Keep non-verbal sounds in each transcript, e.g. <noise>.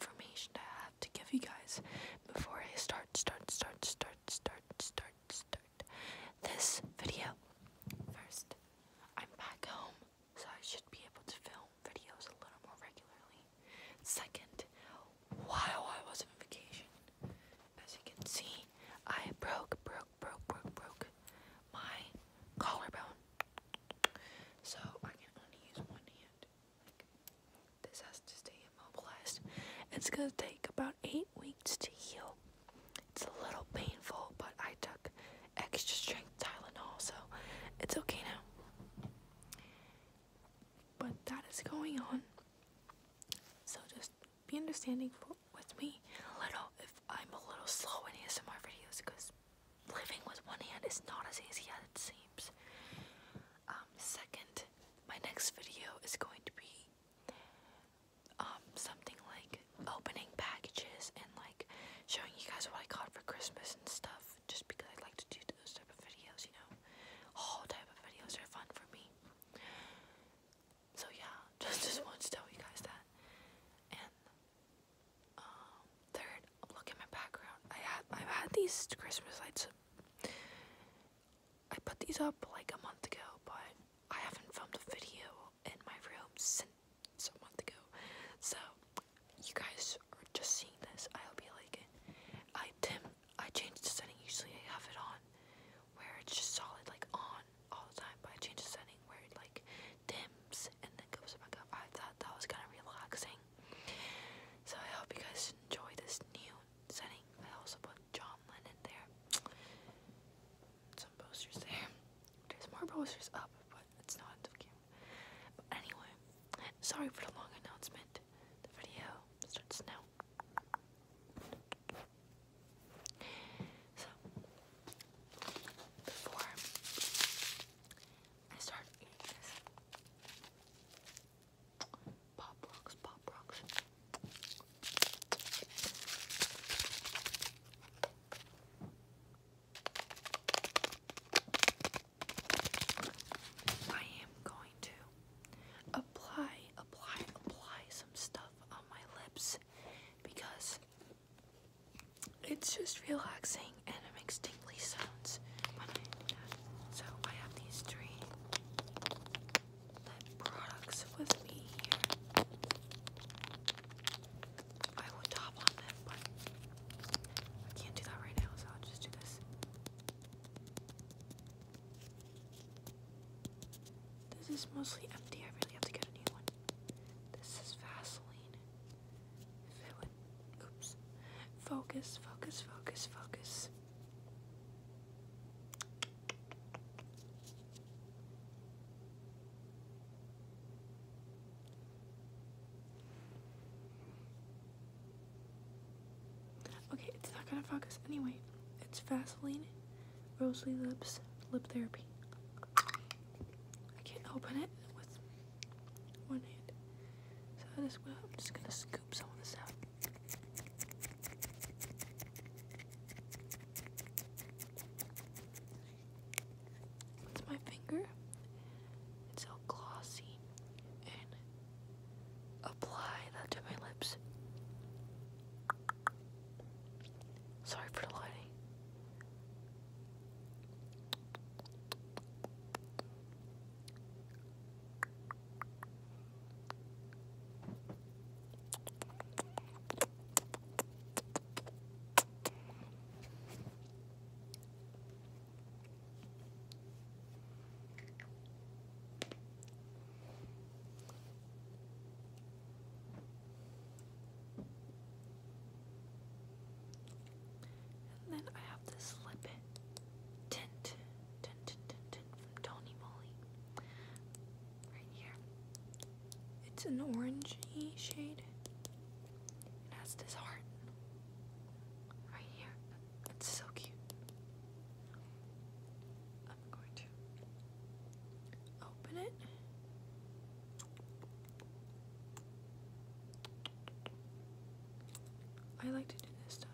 information I have to give you guys before I start, start, start, start, start, start, start this video. First, I'm back home, so I should be able to film videos a little more regularly. Second, while I was on vacation, as you can see, I broke, broke, broke, broke, broke my collarbone. So I can only use one hand. This has to stay immobilized. It's gonna take about eight weeks to heal. It's a little painful, but I took extra strength Tylenol, so it's okay now. But that is going on. So just be understanding with me a little if I'm a little slow in ASMR videos because living with one hand is not as easy as it seems. Um, second, my next video is going to be um, something like opening packages and like showing you guys what I got for Christmas and stuff just because I like to do those type of videos, you know. All type of videos are fun for me. So yeah, <laughs> just just wanted to tell you guys that. And um, third, look at my background. I had I've had these Christmas lights I put these up like a month ago, but I haven't filmed a video in my room since a month ago. So you guys are just seeing this. I hope you like it. I dim I change the setting, usually I have it on where it's just solid like on all the time, but I change the setting where it like dims and then goes back up. I thought that was kinda relaxing. So I hope you guys enjoy this new setting. I also put John Lennon there. Some posters there. There's more posters up, but it's not end of game. But anyway, sorry for the long announcement. The video starts now. So before I start eating this, Pop rocks, pop rocks. I am going to apply, apply, apply some stuff on my lips because it's just relaxing and it makes tingly sounds. So I have these three products with me here. I will top on them, but I can't do that right now, so I'll just do this. This is mostly empty. I really have to get a new one. This is Vaseline. oops. Focus, focus, focus, focus. Okay, it's not gonna focus anyway. It's Vaseline Rosely Lips Lip Therapy. I can't open it with one hand. So I I'm just gonna scoop some of this out. It's my finger. It's so glossy. And apply that to my lips. Sorry for the lighting. And then I have this lip tint from Tony Moly. Right here. It's an orangey shade. It has this heart. Right here. It's so cute. I'm going to open it. I like to do this stuff.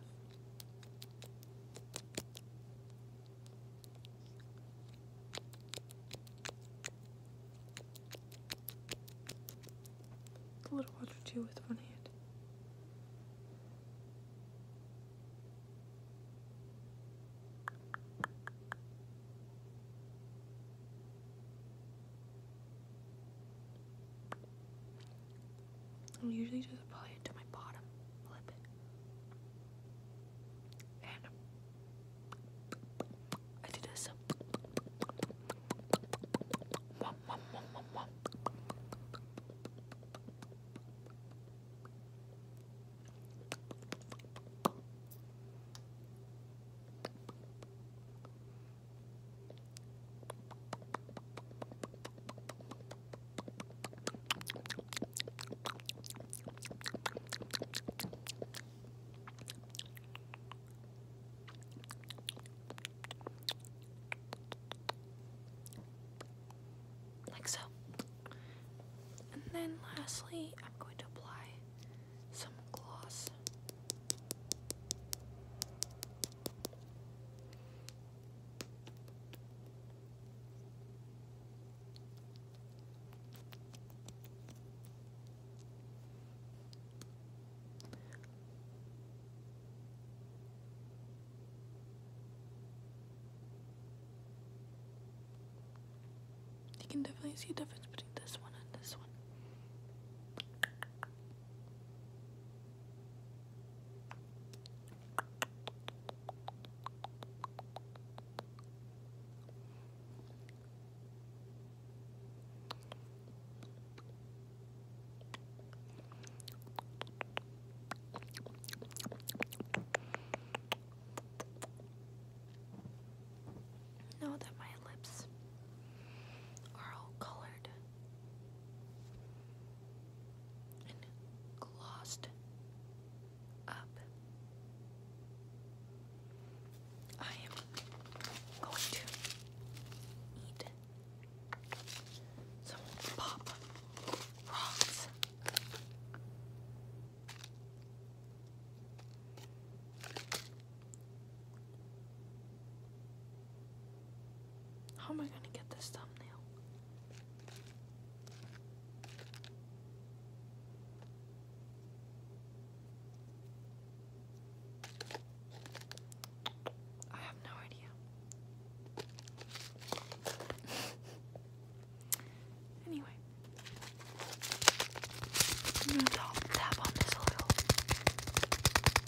A little water too with one hand. I'm usually just applying it to my bottom lip. And I do this. Like so. And then lastly, I'm going to apply some gloss. You can definitely see a difference between this one and this one. Know that my lips are all colored and glossed up. I am going to eat some pop rocks. How am I going to get this thumbnail? I have no idea. <laughs> anyway, I'm going to tap on this little.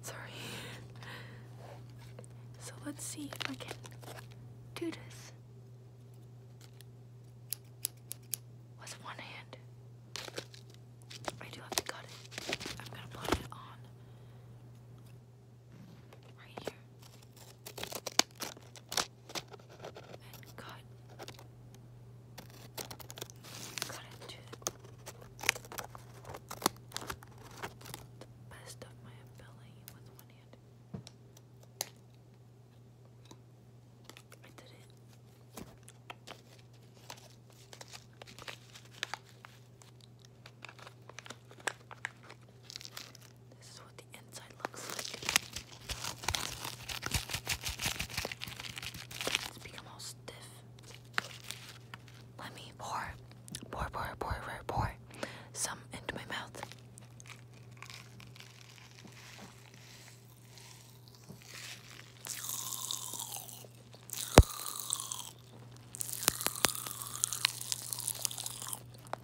Sorry. So let's see if I can do this with one hand. I do have to cut it. I'm gonna put it on right here and cut cut into the best of my ability with one hand. I did it. This is what the inside looks like. It's become all stiff. Let me pour, pour, pour, pour, pour, pour some into my mouth.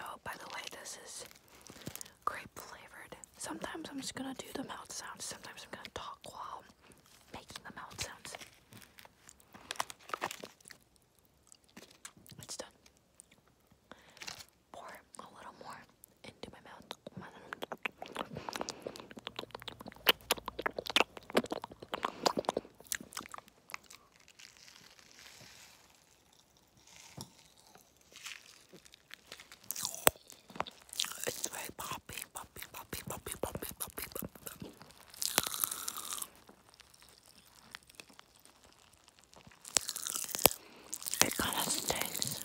Oh, by the way, this is grape flavored. Sometimes I'm just gonna do the mouth sounds, sometimes I'm gonna talk while making the mouth sounds. It's done. Pour a little more into my mouth. It's very poppy, poppy, poppy, poppy, poppy, poppy, poppy. It kind of stinks.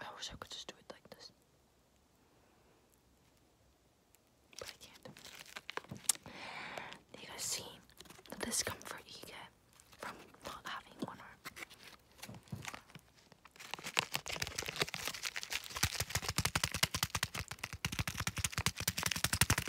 I wish I could just do it like this. But I can't. You guys see the discomfort you get from not having one arm.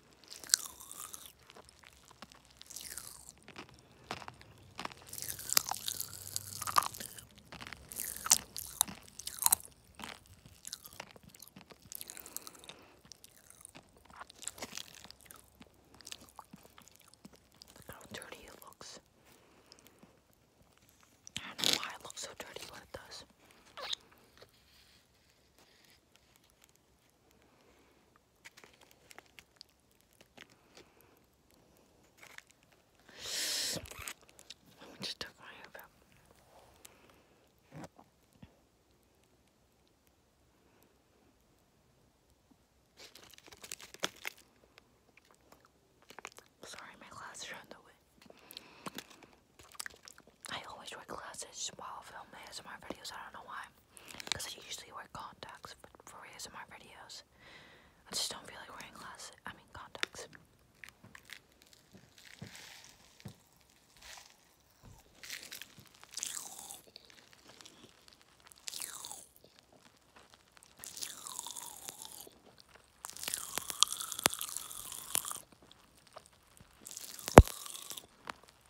Look how dirty it looks. I don't know why it looks so dirty, but it does just took my hoop Sorry, my glasses are on the way. I always wear glasses while filming some of my videos. I don't know why because I usually wear contacts for ASMR videos. I just don't feel like wearing glasses. I mean contacts.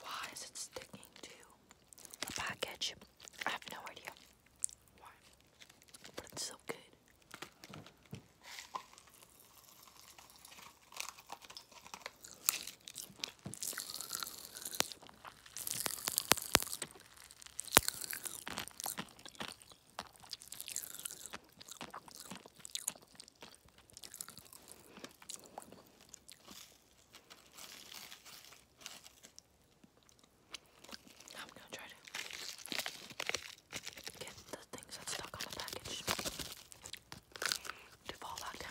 Why is it sticking to the package? I have no idea why, but it's so good. Now I'm gonna try to get the things that's stuck on the package to fall back down.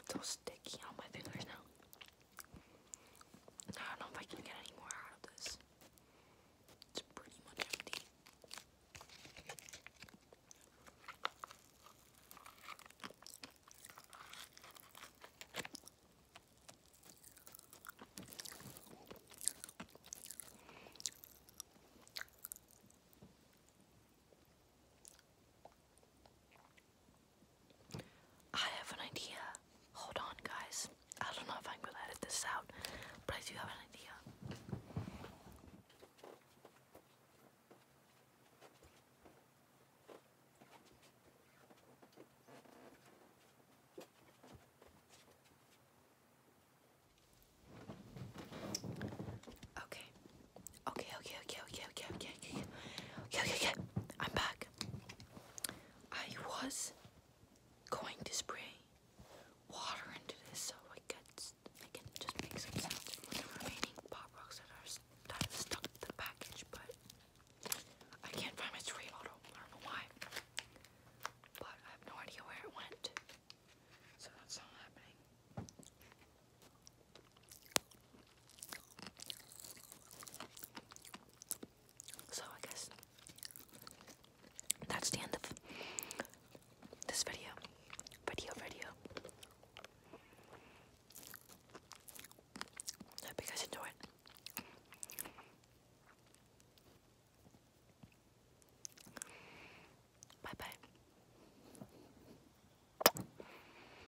It's all sticky on my fingers now. I don't know if I can get any more out of this. It's pretty much empty. I have an idea. Hold on, guys. I don't know if I'm gonna edit this out, but I do have an idea. Okay, Okay, okay, okay, okay, okay, okay, okay, okay, okay, okay. I'm back. I was going to spray water into this so I could, I could just make some sounds from the remaining pop rocks that are that is stuck to the package, but I can't find my spray bottle. I don't know why. But I have no idea where it went. So that's not happening. So I guess that's the end of this video. Video, video. hope you guys enjoy Bye bye.